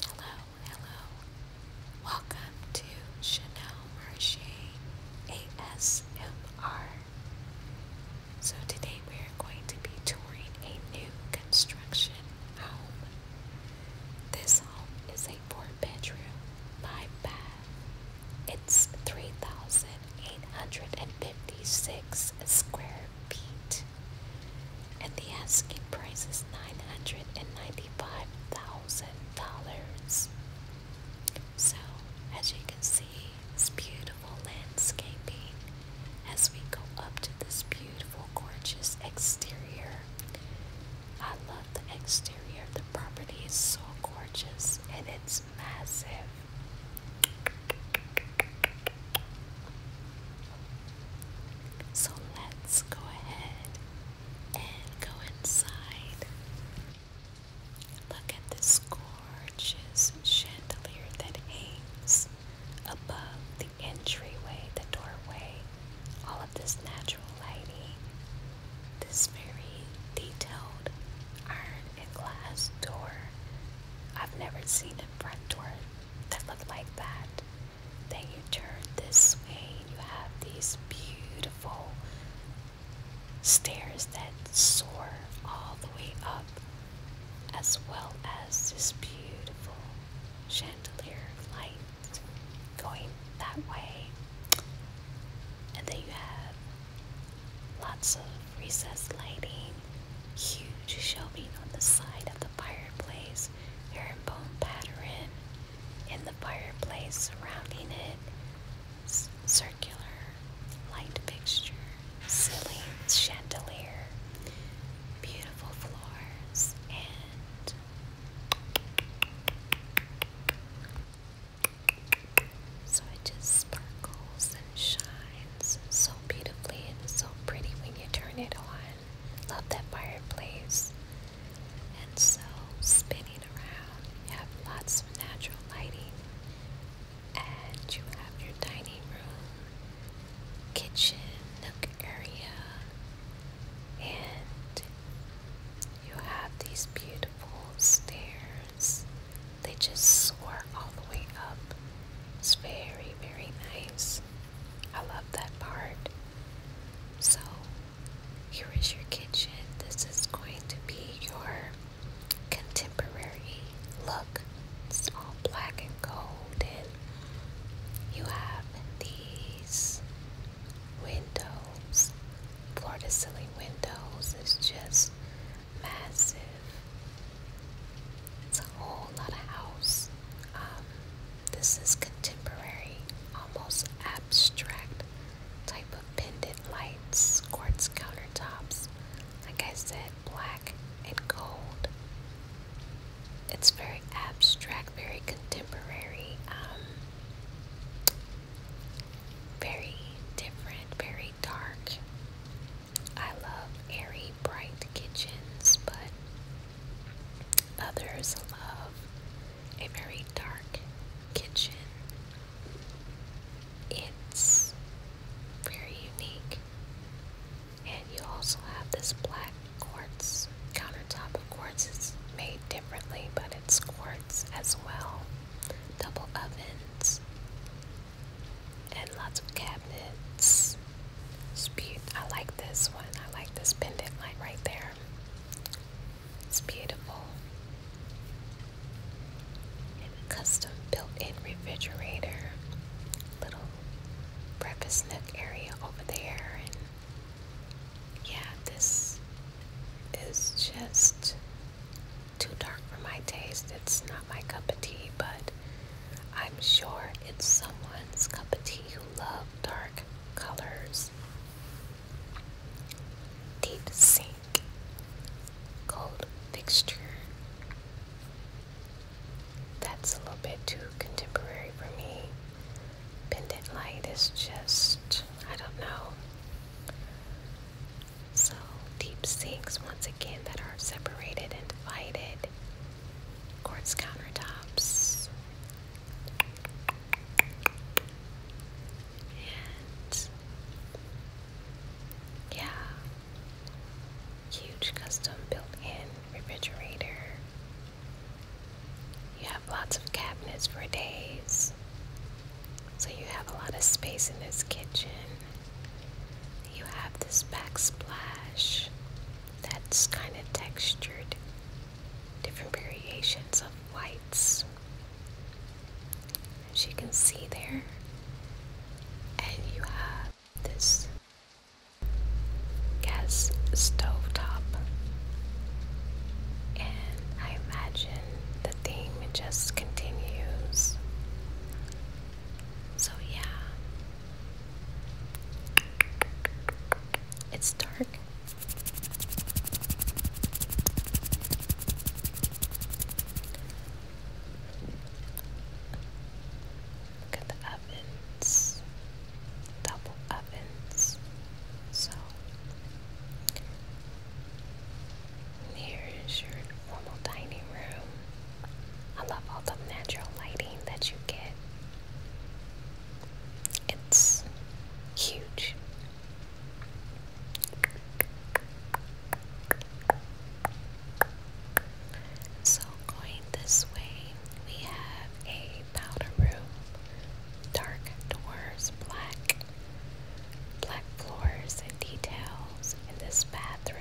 Hello, hello. Welcome to Chanel Marché ASMR. So today we are going to be touring a new construction home. This home is a four-bedroom, five-bath. It's 3,856 square feet and the asking price is $995,000. So, as you can see, this beautiful landscaping as we go up to this beautiful, gorgeous exterior. I love the exterior of the property, it's so gorgeous and it's massive. So let's go ahead and go inside. Look at this gorgeous chandelier that hangs above the entryway, the doorway. All of this natural lighting, this very detailed iron and glass door. I've never seen a front door that looked like that. Then you turn this way, and you have these beautiful stairs that soar all the way up, as well as this beautiful chandelier lights going that way. And then you have lots of recessed lighting, huge shelving on the side of the fireplace herringbone pattern in the fireplace surrounding it, circular light fixture, ceiling chandelier, beautiful floors, and so it just sparkles and shines so beautifully and so pretty when you turn it on love that fireplace. And so, spinning around, you have lots of natural lighting, and you have your dining room, kitchen, nook area, and you have these beautiful stairs. They just soar all the way up. It's very, very nice. I love that part. So, here is your kitchen. This is going to be your contemporary look. It's all black and gold, and you have these windows. Floor to ceiling windows It's just massive. It's a whole lot of house. Um, this is contemporary, almost abstract type of pendant lights, quartz countertops. Like I said, black and gold. It's very abstract, very contemporary, um, very different, very dark. I love airy, bright kitchens, but Others love a very dark kitchen. It's very unique. And you also have this black quartz countertop. Of quartz it's made differently, but it's quartz as well. Double ovens and lots of cabinets Speed. I like this one. I like this pendant light right there. It's beautiful. And custom built-in refrigerator. Little breakfast nook area over there. And yeah, this is just too dark for my taste. It's not my cup of tea, but I'm sure it's someone's cup of tea who love dark colors. Deep sink, cold fixture. That's a little bit too contemporary for me. Pendant light is just, I don't know. So, deep sinks, once again, that are separated and divided quartz countertops, and yeah, huge custom built-in refrigerator. You have lots of cabinets for days. So you have a lot of space in this kitchen. You have this backsplash that's kind of textured different variations of whites, as you can see there. And you have this gas stove top, and I imagine the theme just continues. So, yeah, it's dark Look at the ovens, double ovens. So here is your formal dining room. I love all the natural lighting that you get it's huge. So, going this way, we have a powder room, dark doors, black, black floors, and details in this bathroom.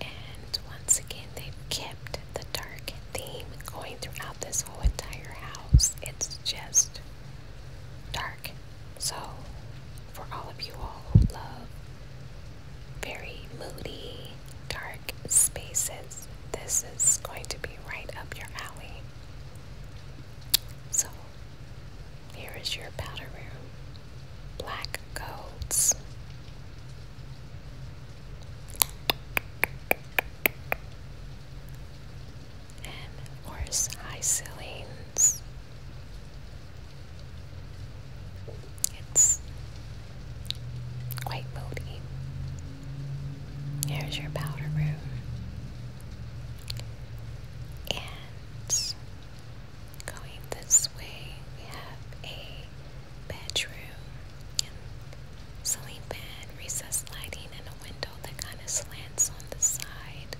And once again, they've kept the dark theme going throughout this whole entire house. It's just dark. So, for all of you all who love very moody, dark spaces, this is going to be right up your alley. So, here is your powder room. Black golds and worse high It's quite moody. Here's your powder room. And going this way, we have a bedroom and ceiling recessed lighting, and a window that kind of slants on the side.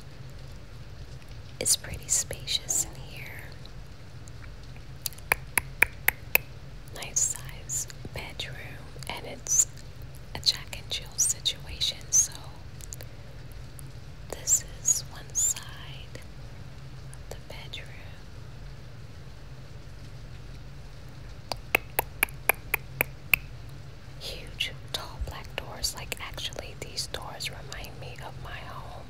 It's pretty spacious in here. Nice size bedroom, and it's a Jack and Jill situation, so this is one side of the bedroom. Huge, tall black doors. Like, actually, these doors remind me of my home.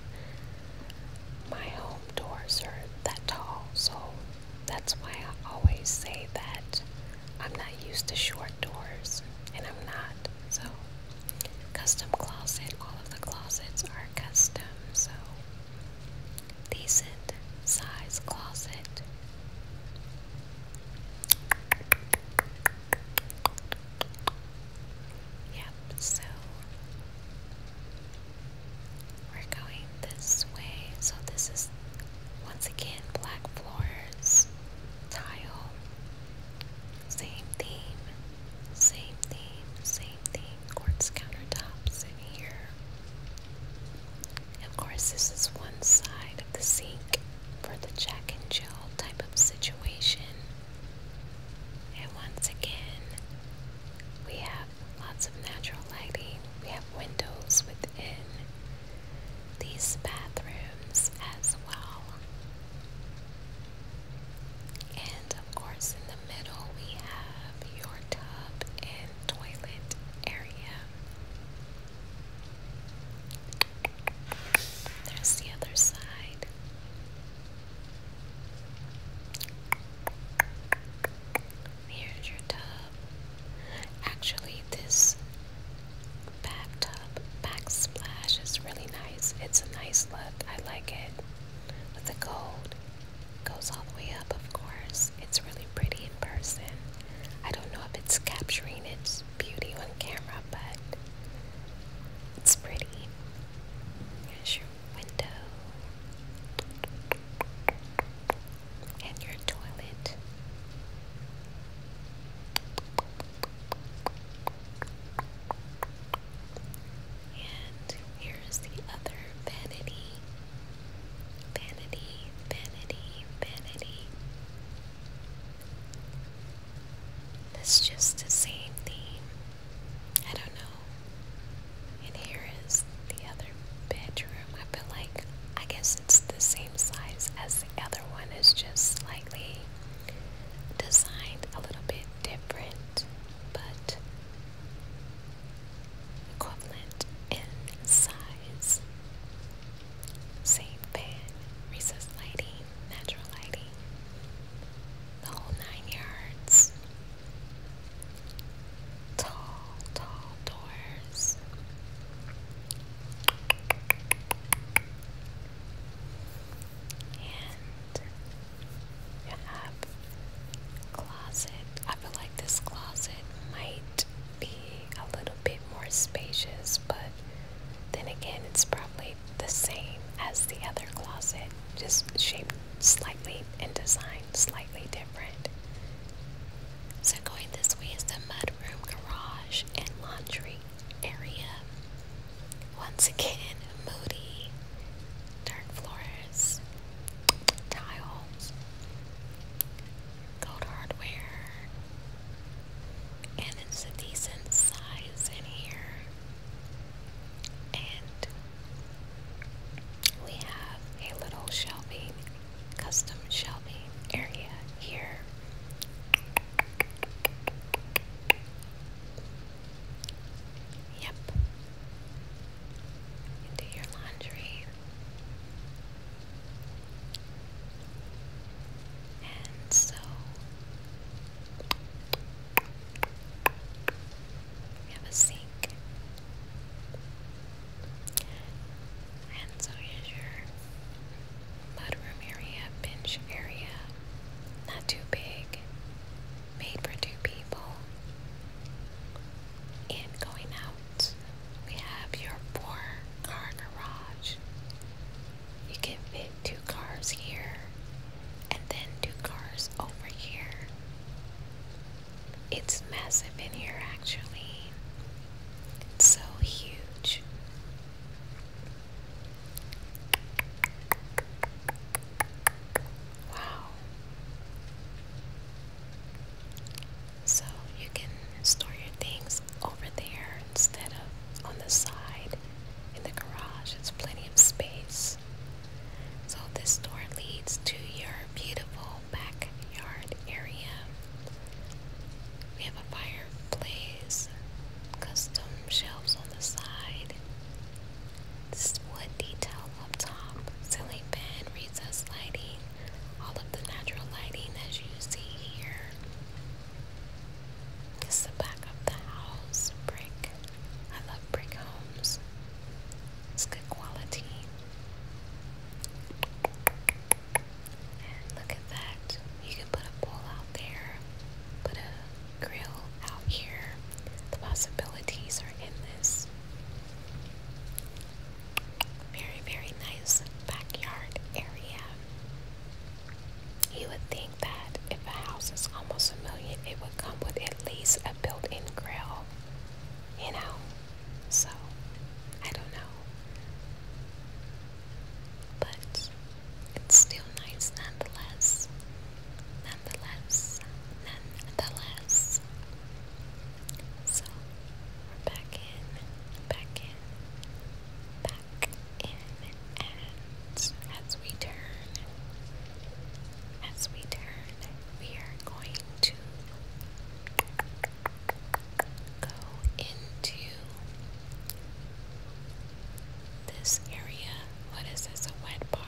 My home doors are that tall, so that's why I always say that I'm not used to short doors, and I'm not. So, custom closet, all of the closets are custom, so decent size closet. Yep, so we're going this way. So, this is once again black floors, tile, same theme, same theme, same the quartz countertops in here. Of course, this is one side of the sink for the Jack and Jill type of situation. And once again, we have lots of natural lighting. We have windows within these bathrooms as well. And of course, in the middle, we have your tub toilet area. There's the other side. Here's your tub. Actually, this bathtub backsplash is really nice. It's a nice look. I like it with the gold. Goes all the way up, of course. It's really pretty in person. I don't know if it's capturing its beauty on camera, but it's pretty. Here's your window and your toilet. And here's the other vanity Vanity, vanity, vanity. It's just the same thing. I don't know. And here is the other bedroom. I feel like, I guess it's the same size as the other one. It's just slightly designed a little bit different. But equivalent in size. Same fan, recessed lighting, natural lighting, the nine yards. Tall, tall doors. And you have closet. I feel like this closet might be a little bit more spacious, but then again, it's probably the same as the other closet, just shaped slightly and designed slightly different. So, going this way is the mudroom, garage, and laundry area. Once again, moody, dark floor Tiles, Gold Hardware, and it's a in here. And we have a little shelving, custom shelving area here. Yep do your laundry, and so we have a sink, and so here's your mudroom area, bench area. Not too big, made for two people, and going out we have your four-car garage. You can fit two cars here and then two cars over here. It's massive in here actually. It's so huge. Wow. So you can store your things over there instead of on the side in the garage. It's plenty of space. So this door leads to your beautiful backyard area. We have a fireplace, custom shelves on the side. This wood detail up top, ceiling fan, recessed lighting, all of the natural lighting as you see here. the back of the house, brick. I love brick homes. It's good quality. And look at that. You can put a pool out there, put a grill out here. The possibilities are endless. Very, very nice backyard area. You would think that if a house is almost a million, it would come with at least a built in grill. You know? So, I don't know. But it's still nice nonetheless. Nonetheless. Nonetheless. So we're back in, back in, back in, and as we turn, as we turn, we are going to go into this area. What is this? A wet bar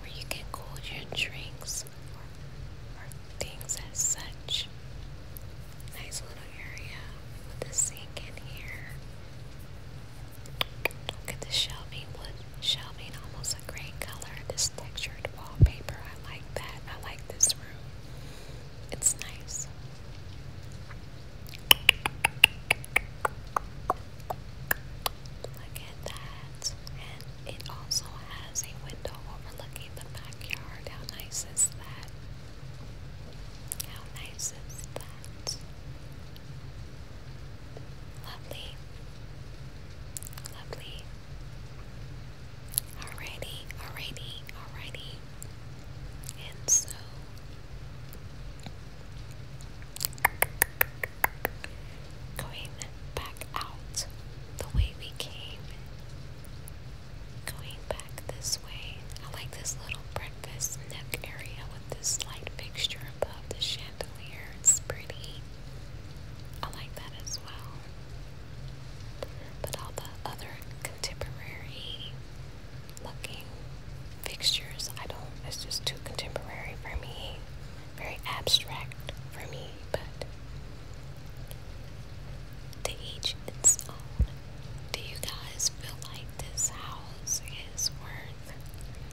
where you can cool your drinks things as such. Nice little area with the sink in here. the shelving wood. Shelving almost a gray color. This textured wallpaper. I like that. I like this room. It's nice. Look that. And it also has a window overlooking the backyard. How nice is that? How nice is that? Lovely. Lovely. Alrighty, alrighty, alrighty. And so going back out the way we came. Going back this way. I like this little breakfast neck area with this light fixture above the chandelier. It's pretty. I like that as well. But all the other contemporary looking fixtures, I don't, it's just too contemporary for me very abstract for me, but to each its own. Do you guys feel like this house is worth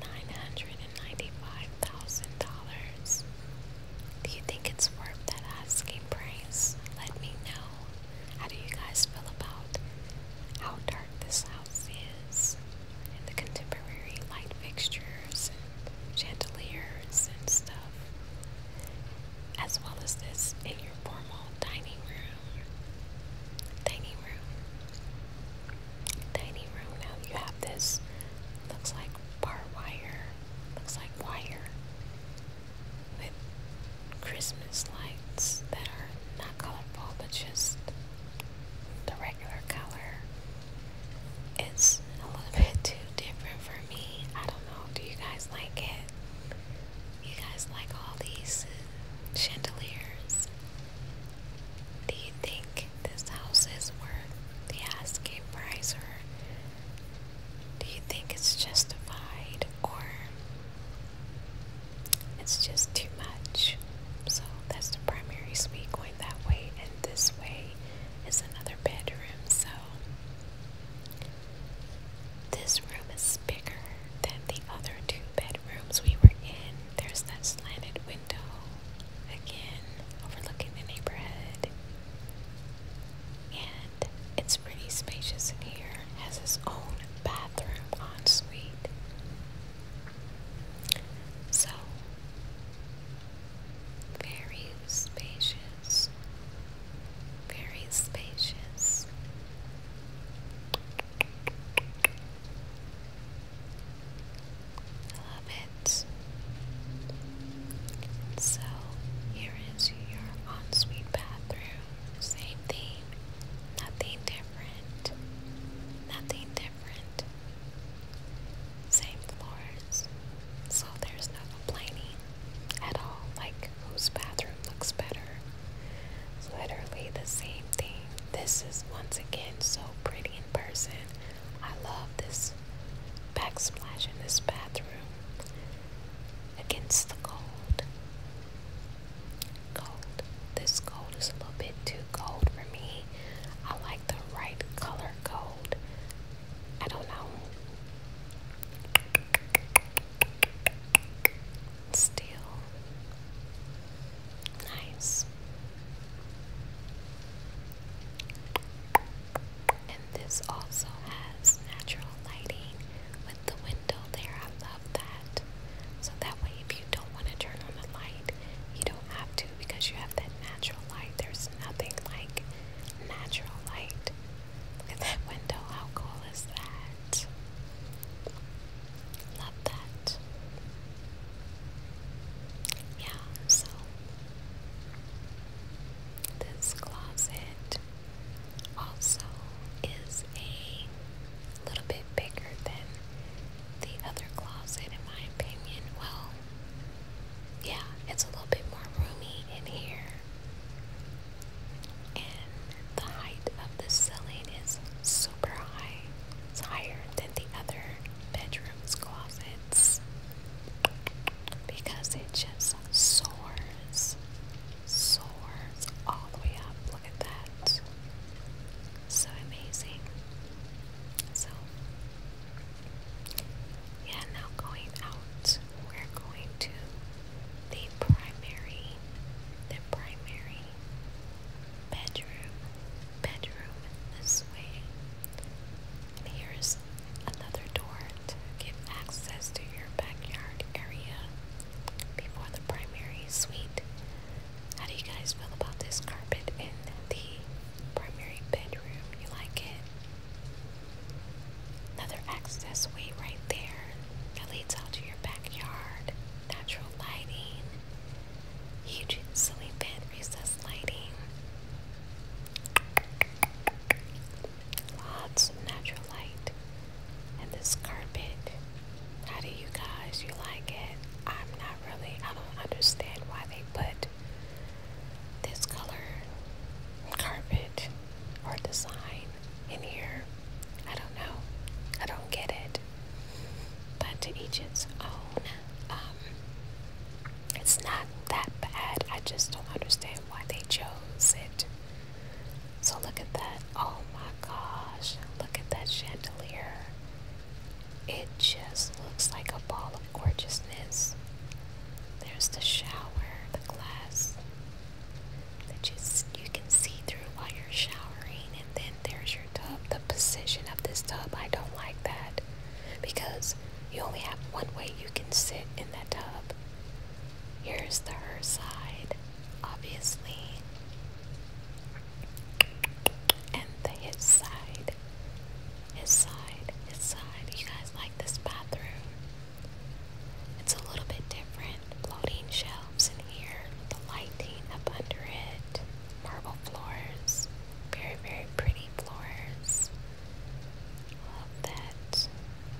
$995,000? Do you think it's worth that asking price? Let me know. How do you guys feel about how dark this house is the contemporary light fixtures chandeliers and stuff, as well as this in your formal dining room. Dining room. Dining room. Now you have this, looks like bar wire, looks like wire with Christmas lights that are not colorful but just the regular color it's a little bit too different for me. I don't know. Do you guys like it? You guys like all these chandeliers? Do you think this house is worth the asking price, or do you think it's justified, or it's just too much? So that's the primary suite going that way, and this way is another bedroom. So this room is bigger than the other two bedrooms we were in. There's that slanted window, again, overlooking the neighborhood. And it's pretty spacious in here, has its own bathroom ensuite. So, very spacious, very spacious. I love it. So here is your ensuite bathroom. Same thing, nothing different, nothing different same floors, so there's no complaining at all, like whose bathroom looks better. It's literally the same thing. This is once again so pretty in person. I love this backsplash in this bathroom against the gold, Gold. This gold is a little bit too gold for me. I like the right color gold. I don't know Steel. Nice. And this also has natural lighting with the window there. I love that. So that way, if you don't want to turn on the light, you don't have to because you have that natural light. There's nothing like natural light. Look at that window, how cool is that? Love that. Yeah, so this closet also is a little bit bigger than the other closet, in my opinion. Well, yeah, it's a little bit more roomy in here. And the height of the ceiling is super high. It's higher than the other bedrooms' closets because it just soars, soars all the way up. Look at that. So amazing. So yeah, now going out, we're going to the primary, the primary bedroom, bedroom this way. And here's another door to give access to your backyard area before the primary suite. How do you guys feel about this carpet in the primary bedroom? You like it? Another access way right there that leads out to your backyard. Natural lighting. Huge silly bed recessed lighting. Lots of natural light. And this carpet. How do you guys you like it? I'm not really I don't understand why they put this color carpet or design in here. I don't know. I don't get it. But to each its own. Um, it's not that bad. I just don't understand why they chose it. So look at that. Oh my gosh. Look at that chandelier. It just looks like a ball of gorgeousness. There's the shower, the glass that you, you can see through while you're showering. And then there's your tub. The position of this tub, I don't like that because you only have one way you can sit in that tub. Here's the her side, obviously, and the his side. Inside, inside. You guys like this bathroom? It's a little bit different. Floating shelves in here, the lighting up under it, marble floors, very, very pretty floors. Love that.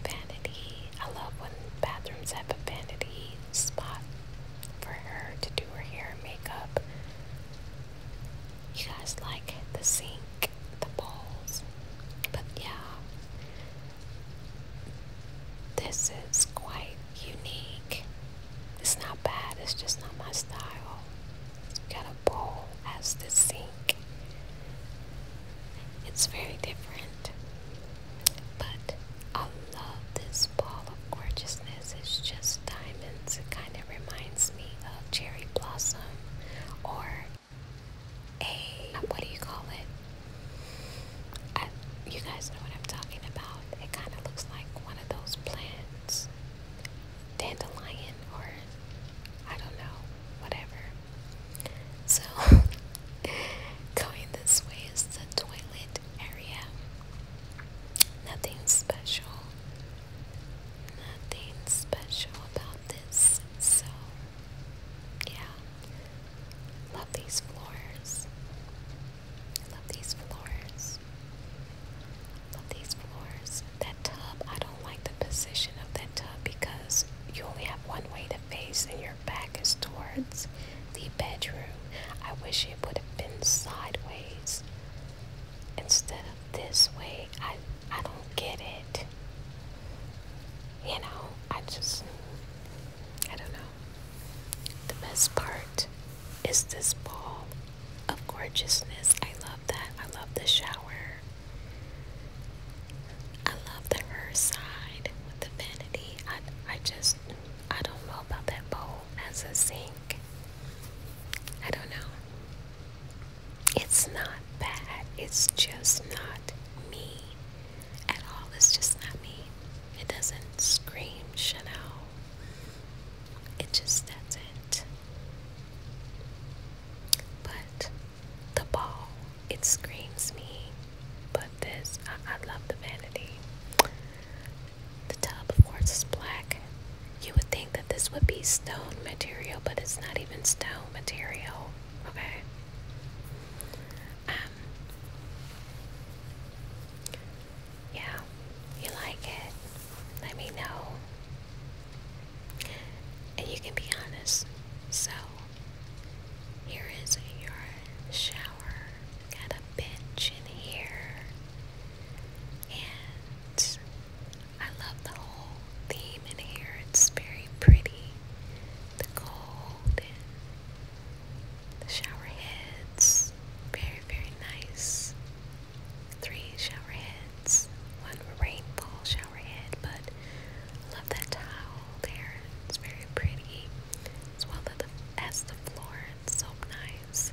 Vanity. I love when bathrooms have a vanity spot for her to do her hair and makeup. You guys like the sink? the balls. But yeah, this is quite unique. It's not bad, it's just not my style. it got a bowl as the sink. It's very different. But I love this ball of gorgeousness. It's just diamonds. It kind of reminds me of cherry blossom or a what do you call it? you guys know what I'm talking about. It kind of looks like one of those plants, dandelion, or I don't know, whatever. So, going this way is the toilet area. Nothing special. Nothing special about this. So, yeah. Love these floors. Love these floors. Love these floors. That tub, I don't like the position of that tub because you only have one way to face and your back is towards the bedroom. I wish it would have been sideways instead of this way. I I don't get it. You know, I just, I don't know. The best part is this ball of gorgeousness. I love that. I love the shower. I love the her side with the vanity. I, I just, I don't know about that bowl as a sink. I don't know. It's not bad. It's just not me at all. It's just not me. It doesn't scream Chanel. It just doesn't. But the ball, it screams me. But this, I, I love the vanity. The tub, of course, is black. You would think that this would be stone material, but it's not even stone material. Okay. Um. Yeah, you like it? Let me know. And you can be honest. So, here is your shower. Got a bench in here. And I love the whole theme in here. It's very pretty. The gold the shower heads. Very, very nice. Three shower heads. One rainfall shower head, but I love that towel there. It's very pretty. As well as the floor. It's so nice.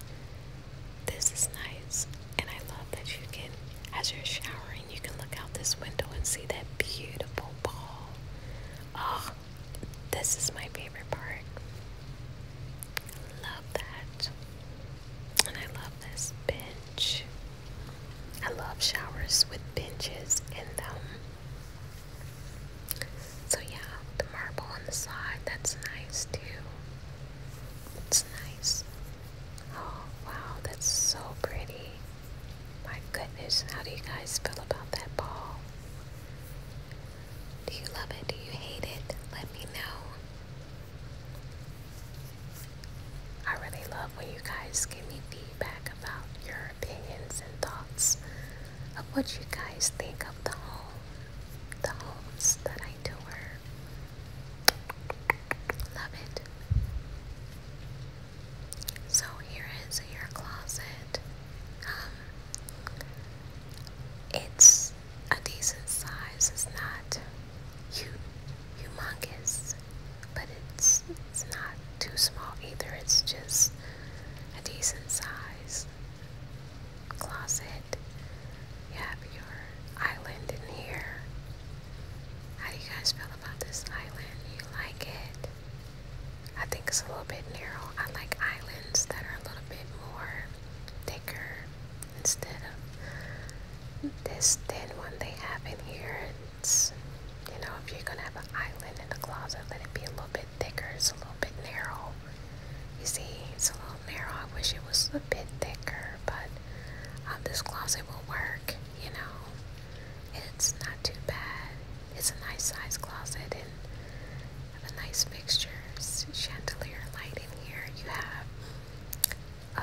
This is nice. And I love that you can, as you're showering, you can look out this window and see that beautiful ball. Oh, this is my favorite part. Love that. And I love this bench. I love showers with benches in them. So, yeah, the marble on the side, that's nice too. It's nice. Oh, wow, that's so pretty. My goodness, how do you guys feel about that ball? Do you love it? Do you hate it? Let me know. I really love when you guys give me feedback about your opinions and thoughts of what you guys think of the home, the homes that I do. Love it. So here is your closet. Um, it's a decent size. It's not humongous, but it's it's not too small either. It's just a decent size closet. You have your island in here. How do you guys feel about this island? You like it? I think it's a little bit narrow. I like islands that are a little bit more thicker instead of this thin one they have in here. It's, you know, if you're gonna have an island in the closet, let it be a little bit thicker. It's a little bit narrow. You see, it's a little narrow. I wish it was a bit thicker, but um, this closet will work, you know. It's not too bad. It's a nice size closet and the nice fixtures, chandelier light in here. You have uh,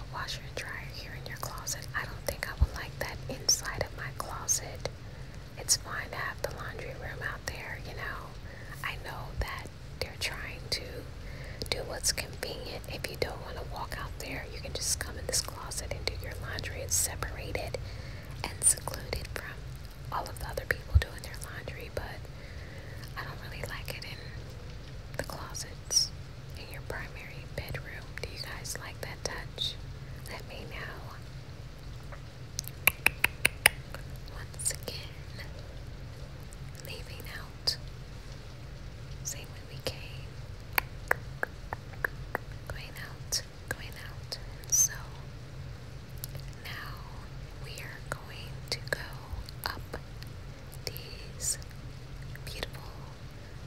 a washer and dryer here in your closet. I don't think I would like that inside of my closet. It's fine to have the laundry room out there, you know. I know that they're trying to do what's convenient if you don't want to walk out there you can just come in this closet and do your laundry. It's separated and secluded from all of the other people doing their laundry, but I don't really like it in the closets in your primary bedroom. Do you guys like that touch? Let me know. Once again, leaving out. Same way we came going out, going out. so now we are going to go up these beautiful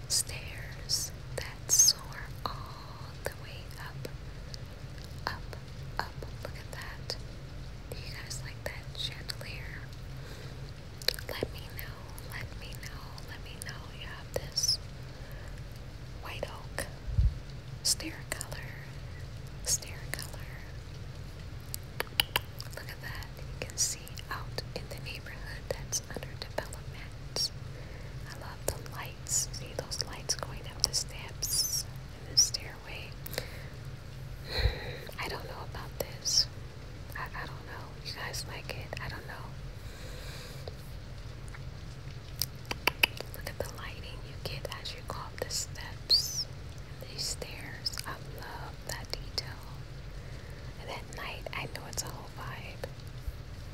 stairs that soar all the way up, up, up. Look at that. Do you guys like that chandelier? Let me know, let me know, let me know you have this white oak stair color, stair color. Look at that, you can see out in the neighborhood that's under development. I love the lights, see those lights going up the steps in the stairway. I don't know about this. I, I don't know. You guys like it? I don't know. Look at the lighting you get as you go the steps, these stairs. I love that detail. And night, I know it's a whole vibe.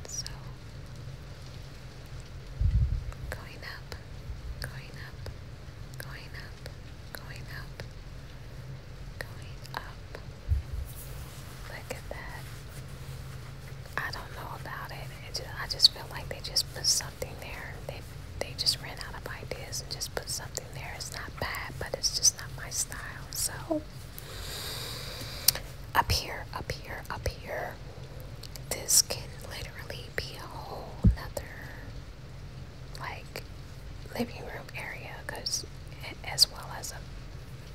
So, going up, going up, going up, going up, going up. Look at that. I don't know about it. just, I just feel like they just put something there. They they just ran out of ideas and just put something there. It's not bad, but it's just not my style. So up here, up here, up here. This can literally be a whole nother like living room area, cause as well as a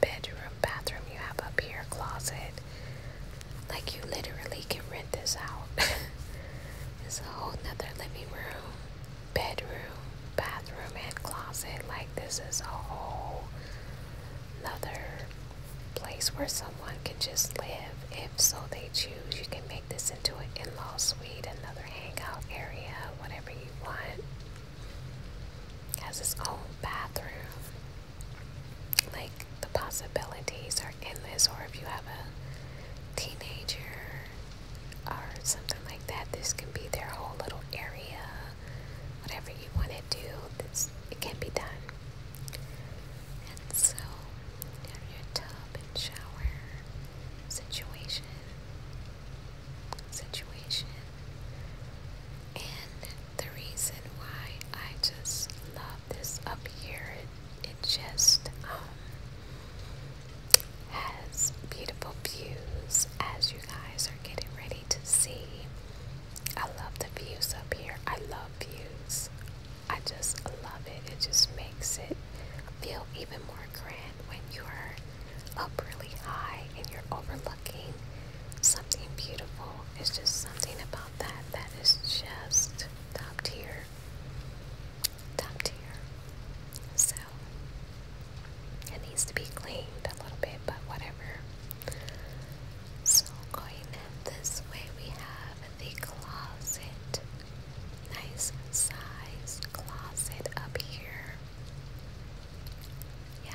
bedroom, bathroom you have up here, closet. Like you literally can rent this out. it's a whole nother living room, bedroom, bathroom, and closet. Like this is a whole nother place where someone can just live. If so they choose, you can make this into an in-law suite, another hangout area, whatever you want has its own bathroom. Like the possibilities are endless, or if you have a teenager or something like that, this can be their whole little area. Whatever you want to do, this it can be done. And so have your tub and shower situation situation. And the reason why I just love this up here, it, just um, has beautiful views as you guys are getting ready to see. I love the views up here. I love views. I just love it. It just makes it feel even more grand when you are up really high and you're overlooking something beautiful. It's just something about that that is just top tier. Top tier. So it needs to be cleaned a little bit, but whatever. So going in this way, we have the closet. Nice size closet up here. Yeah,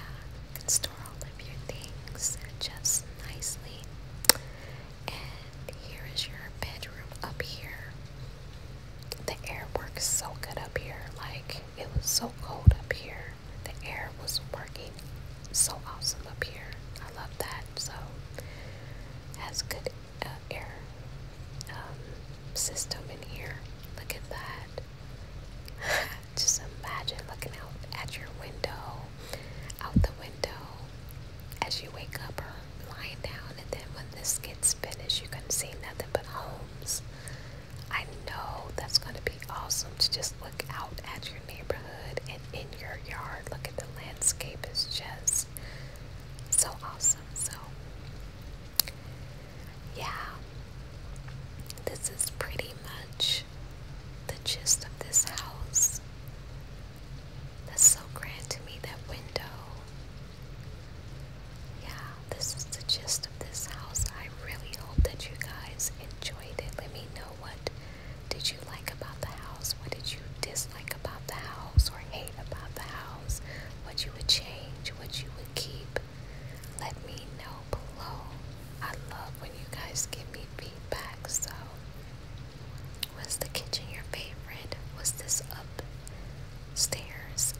can store all of your things just nicely. And here is your bedroom up here. The air works so good up here. Like, it was so cold up here. The air was working so awesome up here. I love that. So, has good uh, air um, system in here. Look at that. just imagine looking out at your window, out the window as you wake up or lying down, and then when this gets finished, you can see nothing but homes. I know that's going to be awesome to just look out at your neighborhood and in your yard. Look at the landscape, it's just so awesome. So, yeah, this is pretty much the gist of this house. That's so grand to me, that window. Yeah, this is the gist of this house. I really hope that you guys enjoyed it. Let me know what did you like about the house, what did you dislike about the house or hate about the house, what you would change, what you would keep. Let me know below. I love when you guys give me feedback. So, was the kitchen your favorite? Was this upstairs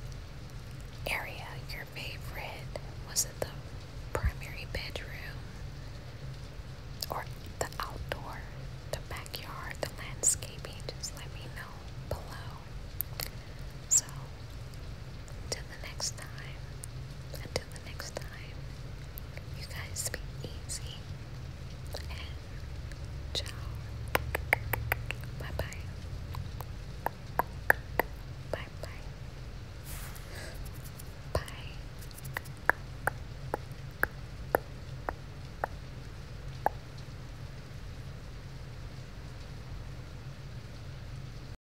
area your favorite? Was it the primary bedroom? Or the outdoor, the backyard, the landscaping? Just let me know below. So, the next time, until the next time, you guys be easy and ciao. Bye bye. Bye bye. Bye.